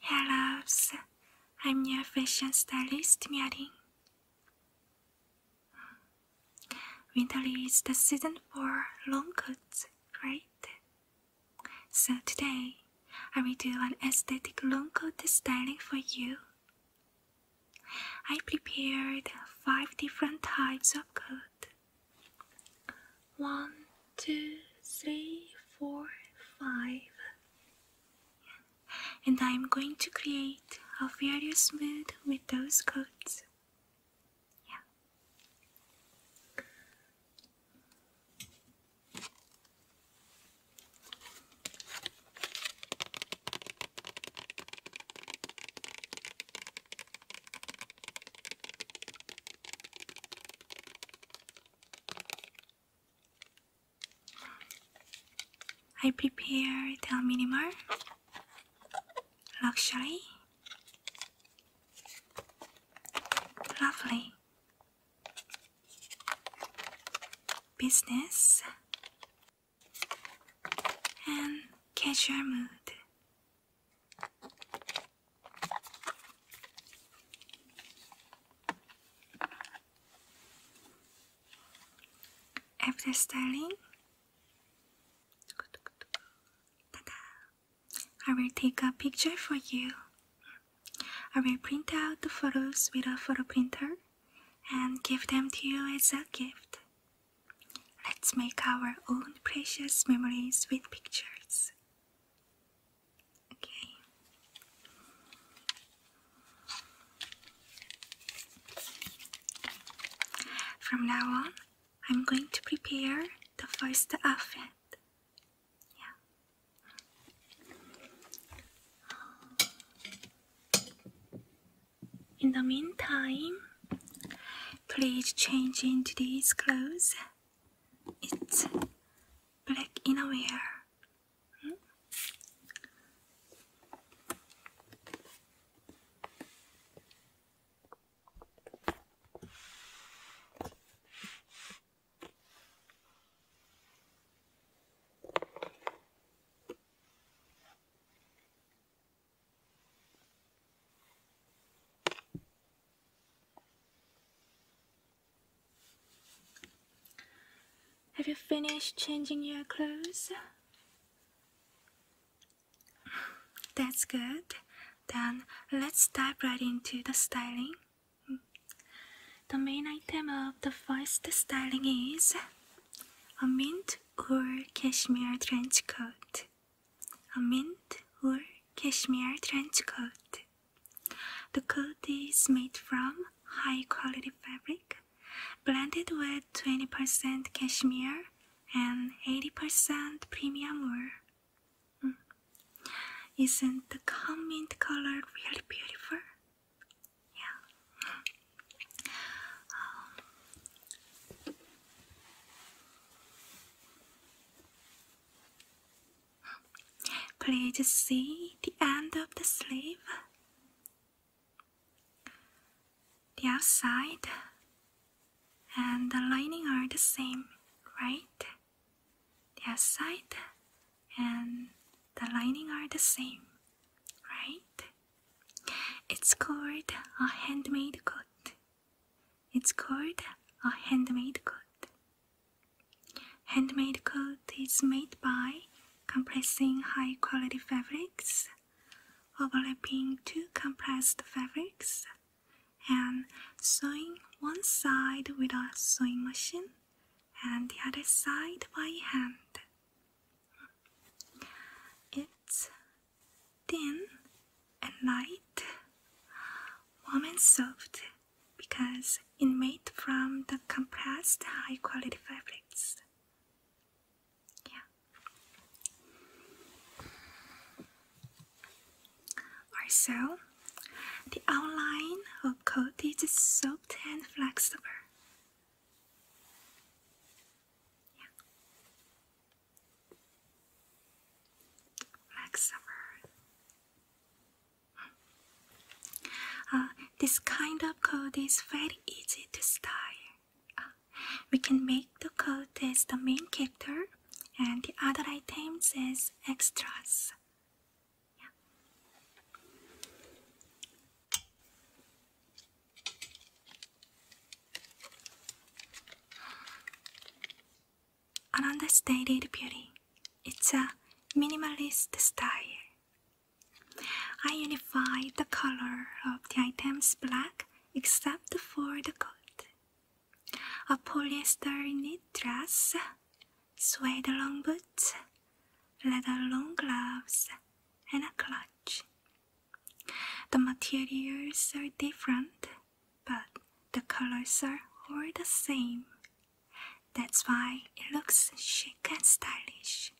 Hello, I'm your fashion stylist, Myerin. Winter is the season for long coats, right? So today, I will do an aesthetic long coat styling for you. I prepared five different types of coat one, two, three, four, five. And I'm going to create a very smooth with those coats. I prepare: a minimal luxury lovely business and casual mood after styling, I will take a picture for you. I will print out the photos with a photo printer and give them to you as a gift. Let's make our own precious memories with pictures. Okay. From now on, I'm going to prepare the first outfit. Yeah. In the meantime, please change into these clothes it's black a way. Have you finished changing your clothes? That's good. Then let's dive right into the styling. The main item of the first styling is a mint or cashmere trench coat. A mint or cashmere trench coat. The coat is made from high quality fabric, blended with 20% cashmere and 80% premium wool. Hmm. Isn't the calm color really beautiful? Yeah. Please see the end of the sleeve. The outside and the lining are the same, right? The outside and the lining are the same, right? It's called a handmade coat. It's called a handmade coat. Handmade coat is made by compressing high quality fabrics, overlapping two compressed fabrics, and sewing one side with a sewing machine and the other side by hand. It's thin and light, warm and soft, because it made from the compressed high quality fabrics. Yeah. Also, the outline of coat is soft and flexible. Yeah. Flexible. Uh, this kind of code is very easy to style. Uh, we can make the code as the main character and the other items as extras an understated beauty. It's a minimalist style. I unify the color of the items black except for the coat. A polyester knit dress, suede long boots, leather long gloves, and a clutch. The materials are different, but the colors are all the same. That's why it looks chic and stylish.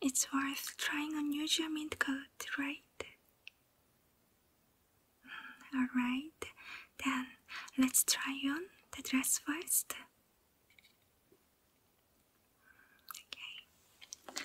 It's worth trying a new mint coat, right? Mm, Alright, then let's try on the dress first. Okay.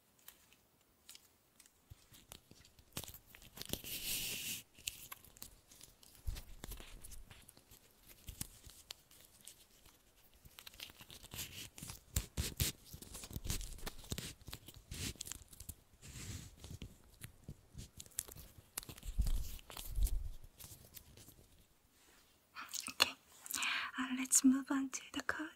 Okay, uh, let's move on to the code.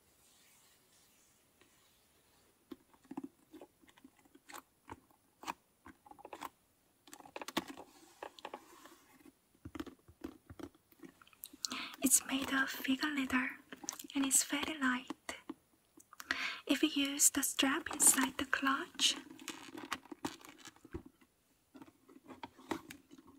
It's made of figure leather and it's very light. If you use the strap inside the clutch,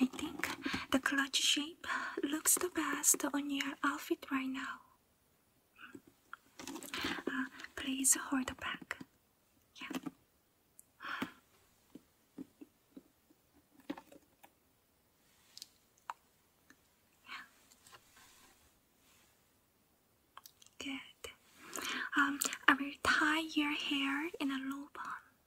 I think the clutch shape looks the best on your outfit right now. Uh, please hold the back. Yeah. yeah. Good. Um, I will tie your hair in a low bun.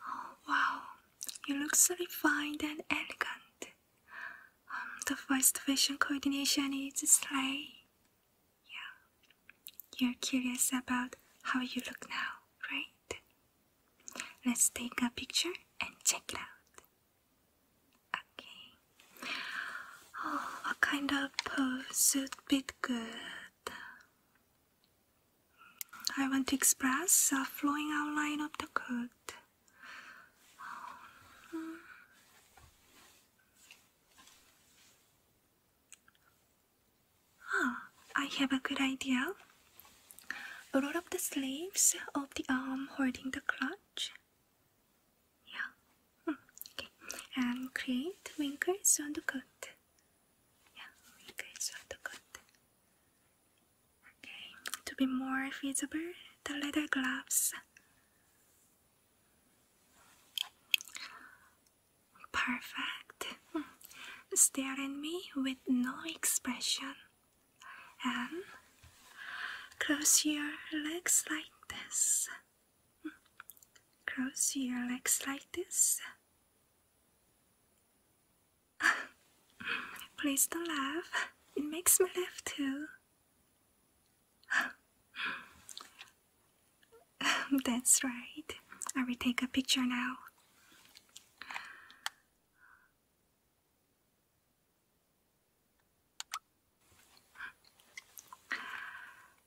Oh wow, you look so refined and elegant. Um, the first facial coordination is slight. Yeah, you're curious about how you look now, right? Let's take a picture and check it out. Okay. Oh, what kind of pose would be good? I want to express a flowing outline of the coat. Ah, I have a good idea. Roll up the sleeves of the arm holding the clutch. Yeah. Hmm, okay. And create wrinkles on the coat. Yeah, wrinkles on the coat. Okay. To be more visible, the leather gloves. Perfect. Stare at me with no expression. And close your legs like this. Close your legs like this. Please don't laugh. It makes me laugh too. That's right. I will take a picture now.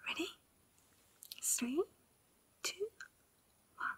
Ready? Three, two, one.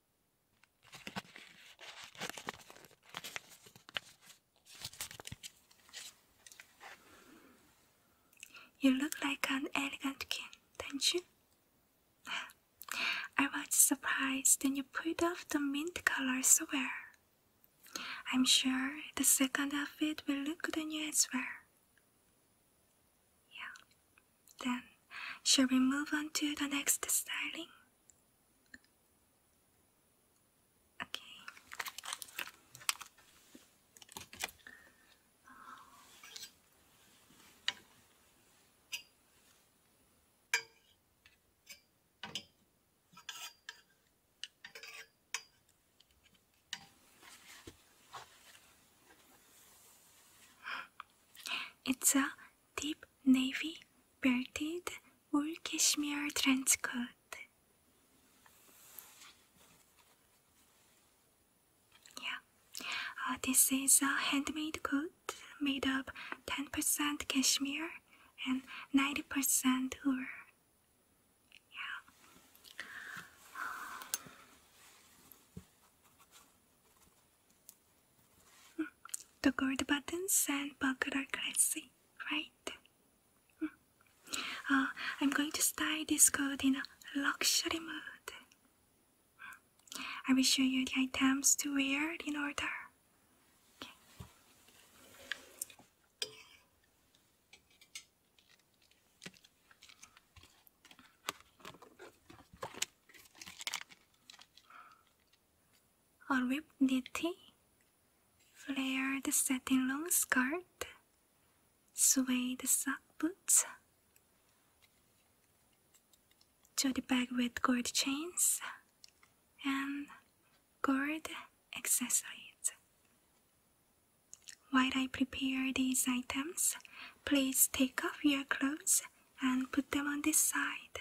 You look like an elegant king, don't you? I was surprised when you put off the mint color so well. I'm sure the second outfit will look good on you as well. Yeah. Then, shall we move on to the next styling? Okay. It's a deep navy belted wool cashmere trench coat. Yeah, uh, this is a handmade coat made of 10% cashmere and 90% wool. Yeah. The gold buttons and buckle are classy, right? Uh, I'm going to style this coat in a luxury mood. I will show you the items to wear in order a ribbed nitti, flared satin long skirt, suede sock boots, the bag with gold chains, and gold accessories. While I prepare these items, please take off your clothes and put them on this side.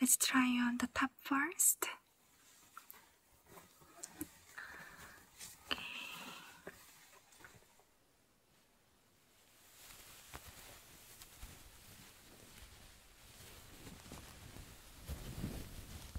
Let's try on the top first.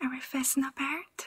Are we facing apart?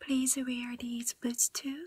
Please wear these boots too.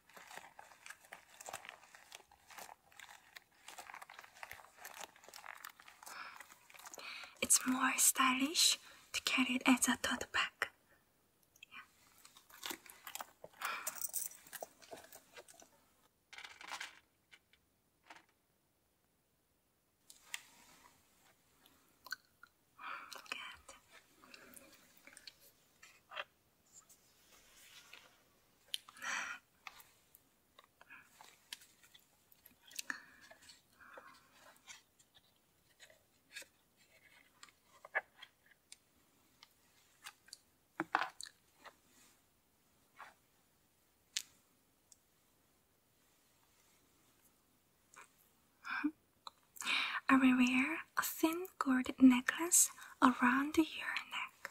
It's more stylish to carry it as a tote bag. Good. I will wear a thin gold necklace around your neck.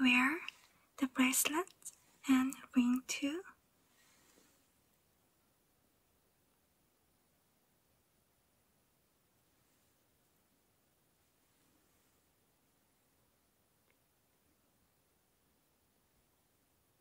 Wear the bracelet and ring too.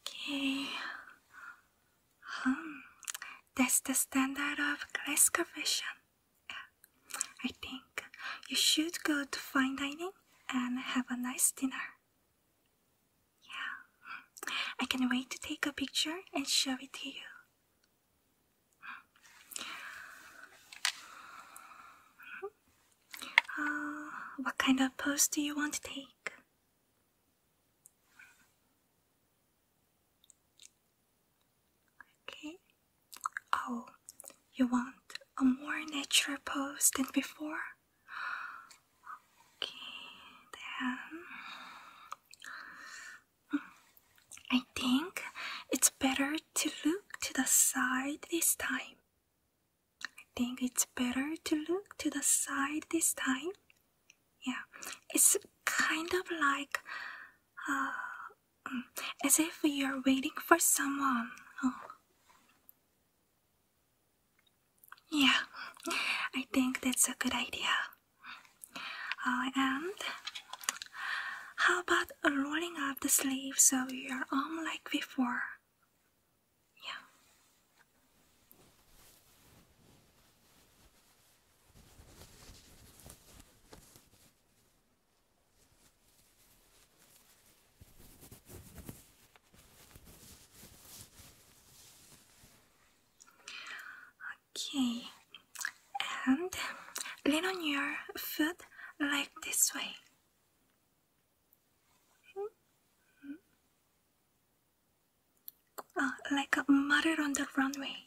Okay. Um, that's the standard of class version. I think you should go to fine dining and have a nice dinner. Yeah, I can wait to take a picture and show it to you. Uh, what kind of pose do you want to take? Okay. Oh, you want a more natural pose than before? then hmm. I think it's better to look to the side this time. I think it's better to look to the side this time. Yeah, it's kind of like uh, as if you're waiting for someone. Oh. Yeah, I think that's a good idea. Uh, and how about rolling up the sleeve so your arm like before? Yeah. Okay, and lean on your foot like this way. Hmm? Uh, like a mother on the runway.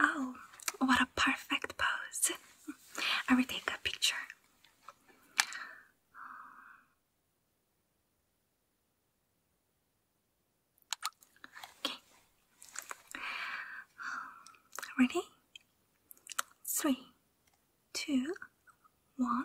Oh, what a perfect pose! I will take a picture. Okay. Ready? Three, two, one.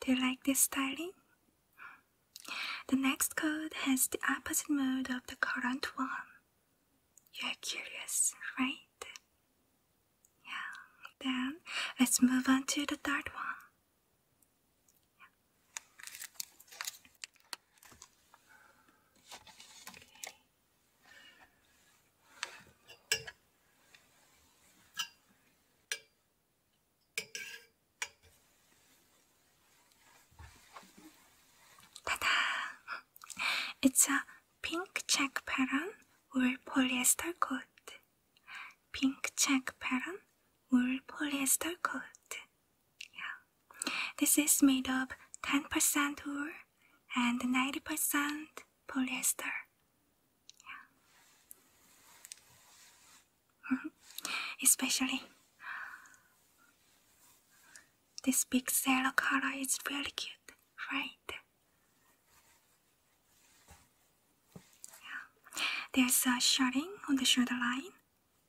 Do you like this styling? The next code has the opposite mode of the current one. You are curious, right? Yeah. Then let's move on to the third one. Ta-da! It's a pink check pattern wool polyester coat. Pink check pattern wool polyester coat. Yeah. This is made of 10% wool and 90% polyester. Yeah. Especially, this big pixel color is really cute, right? Yeah. There's a shading on the shoulder line,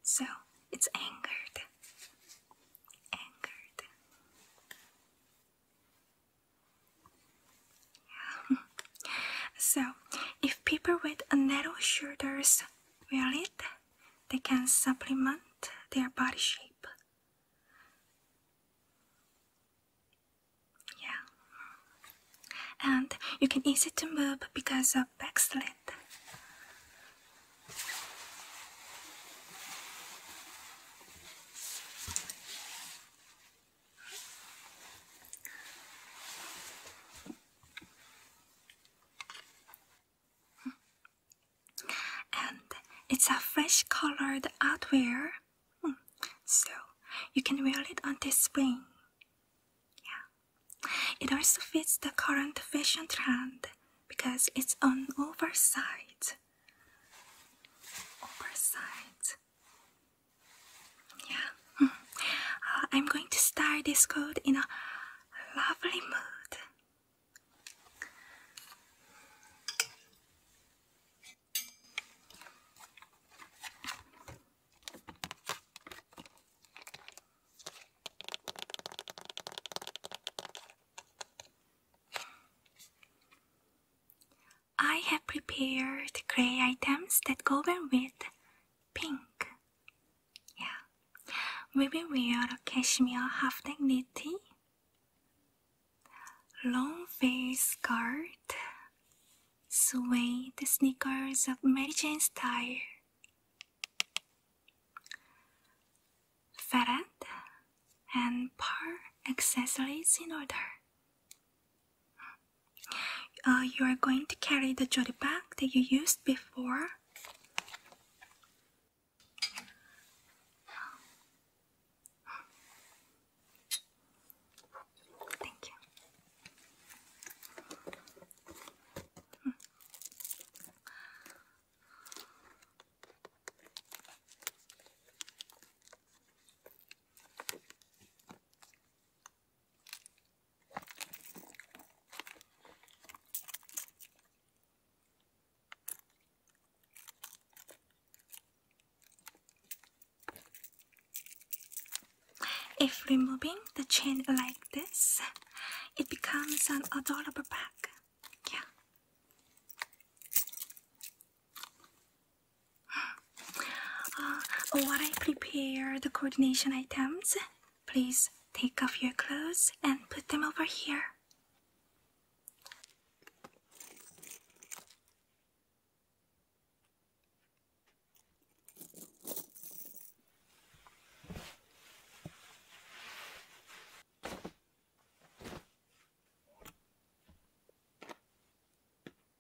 so it's angered. Angered. so, if people with narrow shoulders wear it, they can supplement their body shape. Yeah. And you can easy to move because of back slit. And it's a fresh colored outwear, hmm. so you can wear it until spring. Yeah. It also fits the current fashion trend because it's on oversize. Oversized. Yeah, mm. uh, I'm going to start this code in a lovely mood. I have prepared gray items that go well with pink. Yeah. We will wear a cashmere half dignity, long face skirt, suede sneakers of Mary Jane style, ferret and pearl accessories in order. Uh, you are going to carry the jewelry bag that you used before. Thank you. If removing the chain like this, it becomes an adorable bag. Yeah. Uh, while I prepare the coordination items, please take off your clothes and put them over here.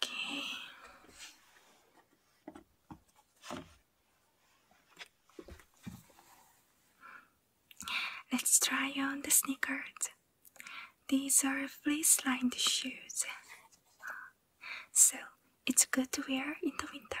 Okay. Let's try on the sneakers. These are fleece-lined shoes, so it's good to wear in the winter.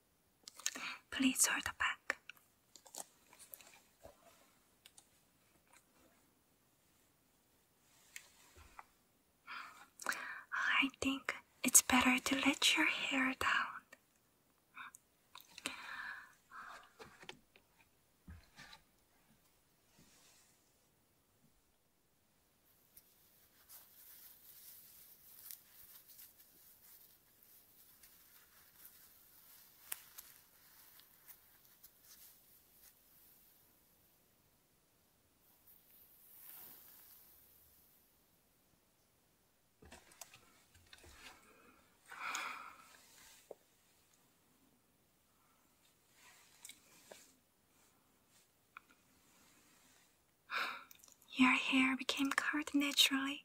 Please hold the back. I think it's better to let your hair down. Your hair became curly naturally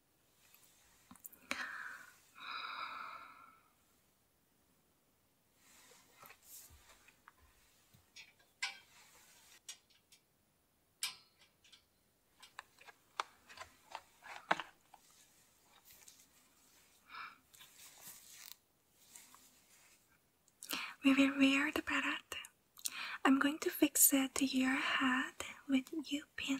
We will wear the barat. I'm going to fix it to your head with you pin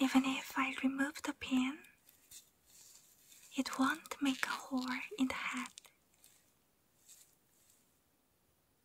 Even if I remove the pin, it won't make a hole in the hat.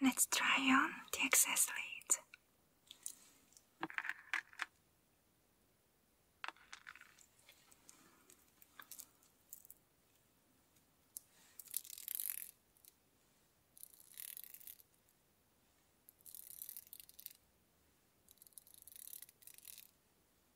Let's try on the excess lead.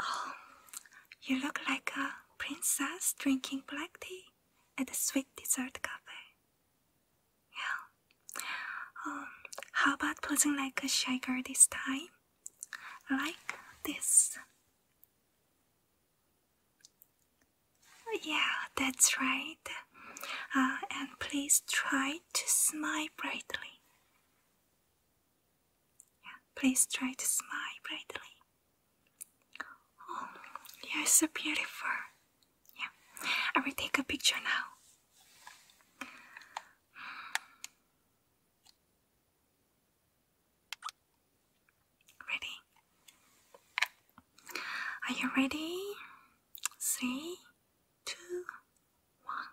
Oh, you look like a princess drinking black tea at a sweet dessert cafe. Yeah. Um, how about posing like a shy this time? Like this. Yeah, that's right. Uh, and please try to smile brightly please try to smile brightly. Oh, you're so beautiful. Yeah, I will take a picture now. Ready? Are you ready? Three, two, one.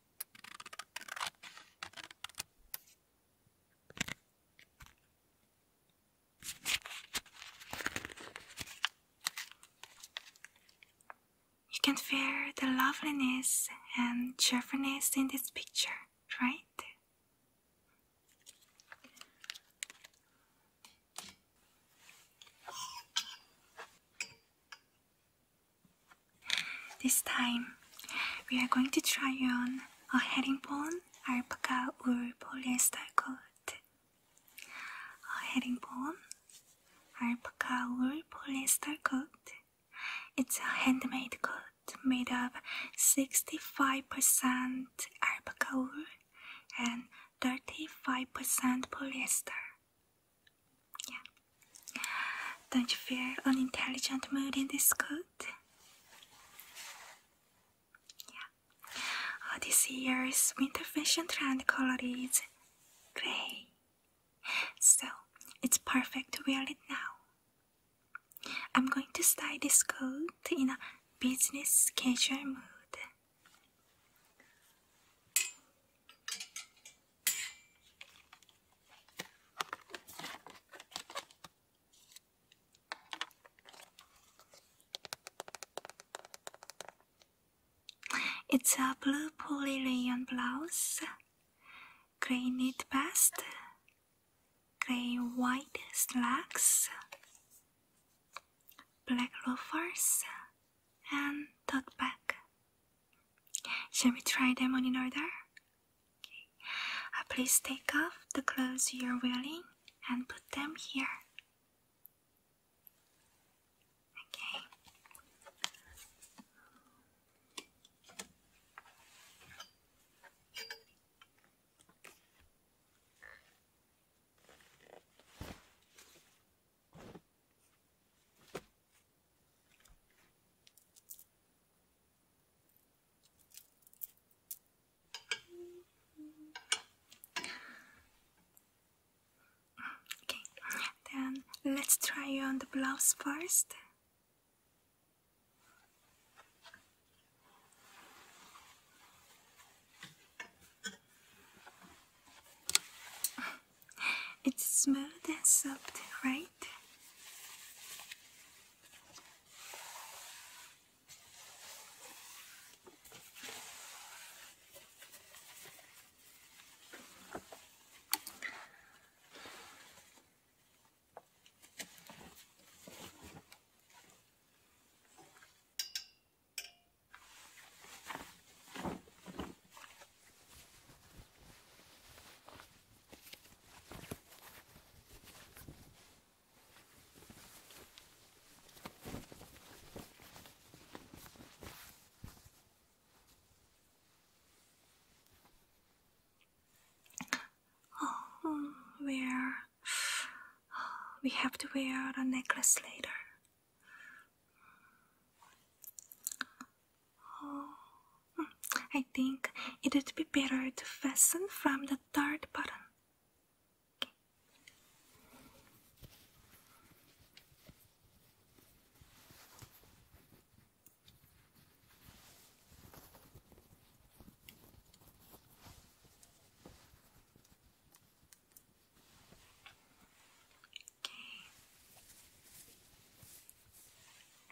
You can feel the loveliness and cheerfulness in this picture, right? This time, we are going to try on a heading herringbone alpaca wool polyester coat. A heading herringbone alpaca wool polyester coat. It's a handmade coat made of 65% alpaca wool and 35% polyester. Yeah. Don't you feel an intelligent mood in this coat? Yeah. Oh, this year's winter fashion trend color is grey. So it's perfect to wear it now. I'm going to style this coat in a business casual mood. It's a blue polly rayon blouse, grey knit vest, grey white slacks, black loafers, and tote bag. Shall we try them on in order? Okay. Uh, please take off the clothes you're wearing and put them here. Okay. Okay, then let's try on the blouse first. It's smooth and soft, right? Oh, where we have to wear the necklace later. Oh, I think it would be better to fasten from the third button. Okay.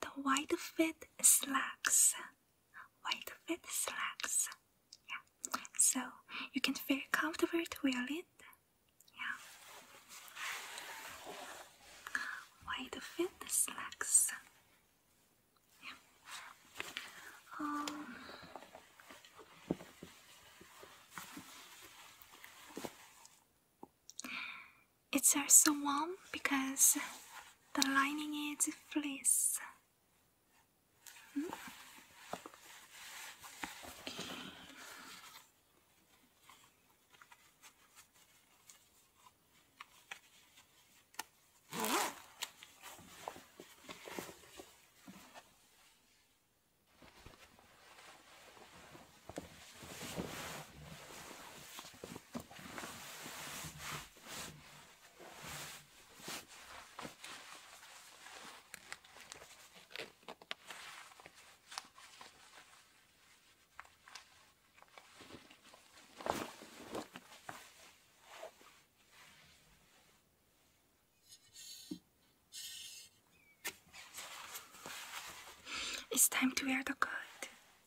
the white fit slacks. White fit slacks. Yeah. So you can feel comfortable to wear it. Yeah. White fit slacks. Yeah. Um, it's also warm because the lining is fleece. It's time to wear the coat.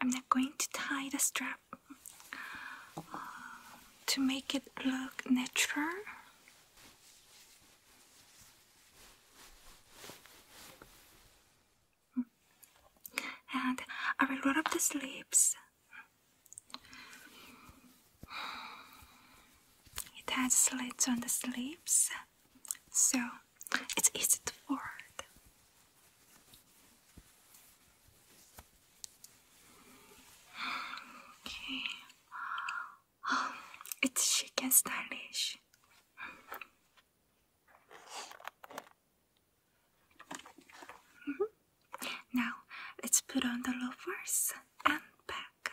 I'm not going to tie the strap uh, to make it look natural. And I will roll up the sleeves. It has slits on the sleeves, so it's easy to fold. Okay. it's chic and stylish. Mm-hmm. Now let's put on the loafers and back.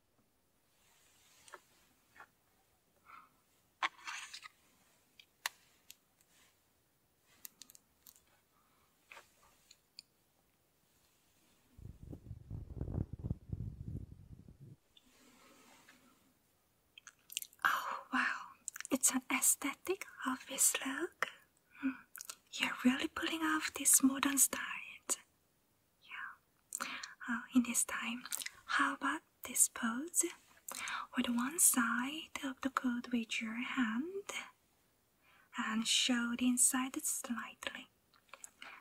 Oh, wow, it's an aesthetic office look. Hmm. You're really pulling off this modern style. Yeah. Oh, in this time, how about this pose? With one side of the coat with your hand and show the inside slightly.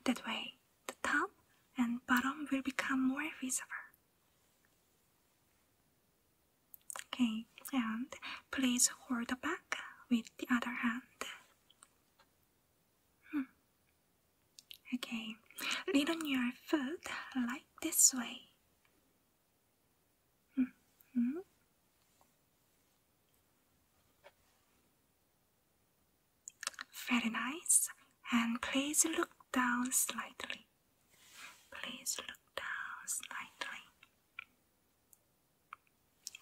That way, the top and bottom will become more visible. Okay, and please hold the back with the other hand. Hmm. Okay, lean on your foot like this way. Mm-hmm. Very nice. And please look down slightly. Please look down slightly.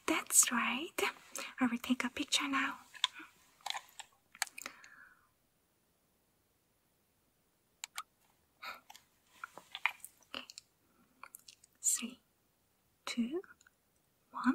That's right. I will take a picture now. Okay. Three, two, one.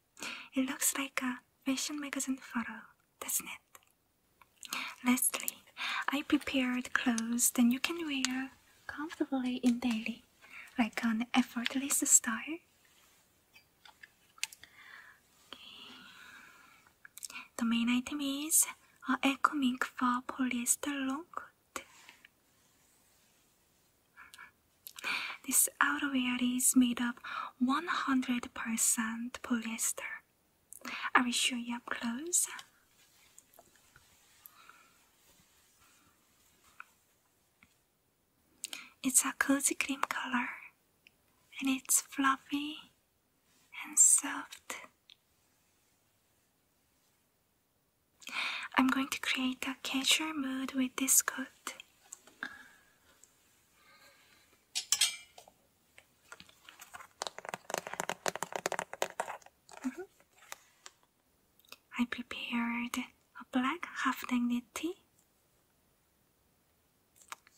It looks like a fashion magazine photo, doesn't it? Lastly, I prepared clothes that you can wear comfortably in daily, like an effortless style. The main item is a eco mink for polyester long coat. This outerwear is made of 100% polyester. I will show you up close. It's a cozy cream color and it's fluffy and soft. I'm going to create a casual mood with this coat. Mm-hmm. I prepared a black half-neck knit tee,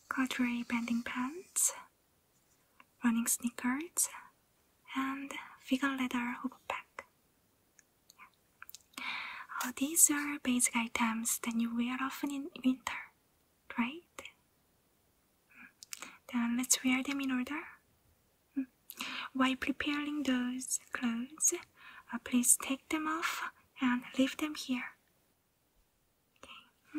corduroy bending pants, running sneakers, and figure leather hoop pack. Oh, these are basic items that you wear often in winter right? Then let's wear them in order. Hmm. While preparing those clothes, uh, please take them off and leave them here. Okay. Hmm.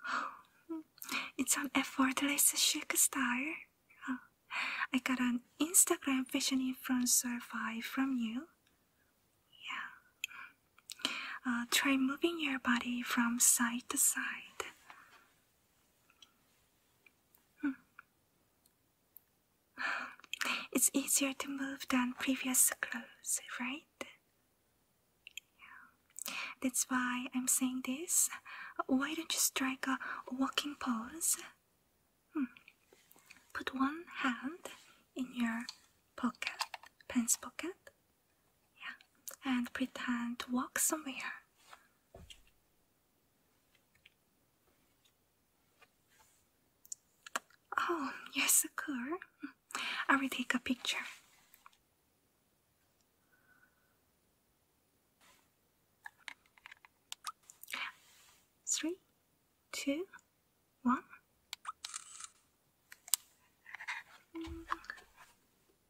it's an effortless chic style. I got an Instagram fashion influencer vibe from you. Yeah. Uh, try moving your body from side to side. It's easier to move than previous clothes, right? Yeah. That's why I'm saying this. Why don't you strike a walking pose? Hmm. Put one hand in your pocket, pants pocket, yeah, and pretend to walk somewhere. Oh, yes, cool. I will take a picture. Three, two, one.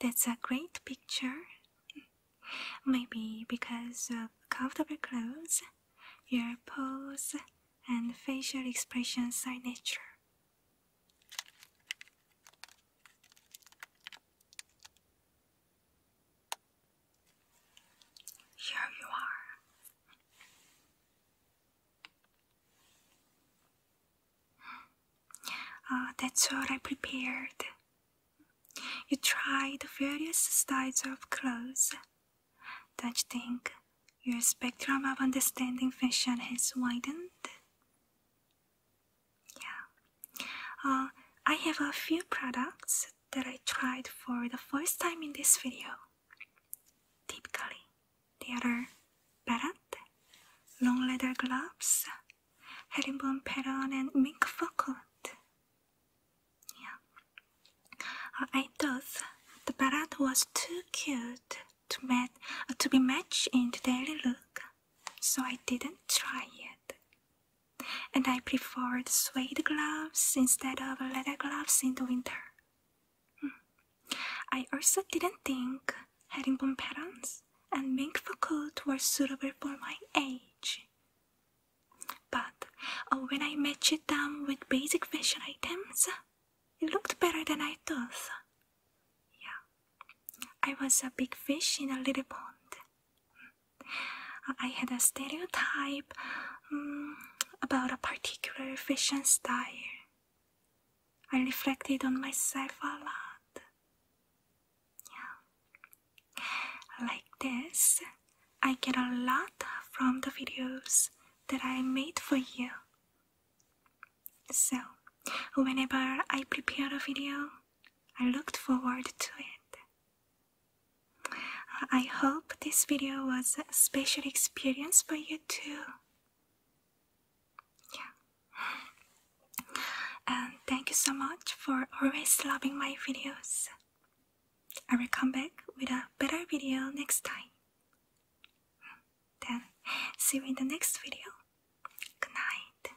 That's a great picture. Maybe because of comfortable clothes, your pose and facial expression signature. Here you are. Ah, that's what I prepared. You tried various styles of clothes. Don't you think your spectrum of understanding fashion has widened? Yeah. Ah, I have a few products that I tried for the first time in this video. Typically, there are beret, long leather gloves, herringbone pattern, and mink fur coat. Yeah. I thought the beret was too cute to, mat uh, to be matched in the daily look, so I didn't try it. And I preferred suede gloves instead of leather gloves in the winter. I also didn't think herringbone patterns and mink coat were suitable for my age. But uh, when I matched them with basic fashion items, it looked better than I thought. Yeah, I was a big fish in a little pond. I had a stereotype Mm, about a particular fashion style. I reflected on myself a lot. Yeah. Like this, I get a lot from the videos that I made for you. So, whenever I prepare a video, I looked forward to it. I hope this video was a special experience for you too. Yeah. And thank you so much for always loving my videos. I will come back with a better video next time. Then, see you in the next video. Good night.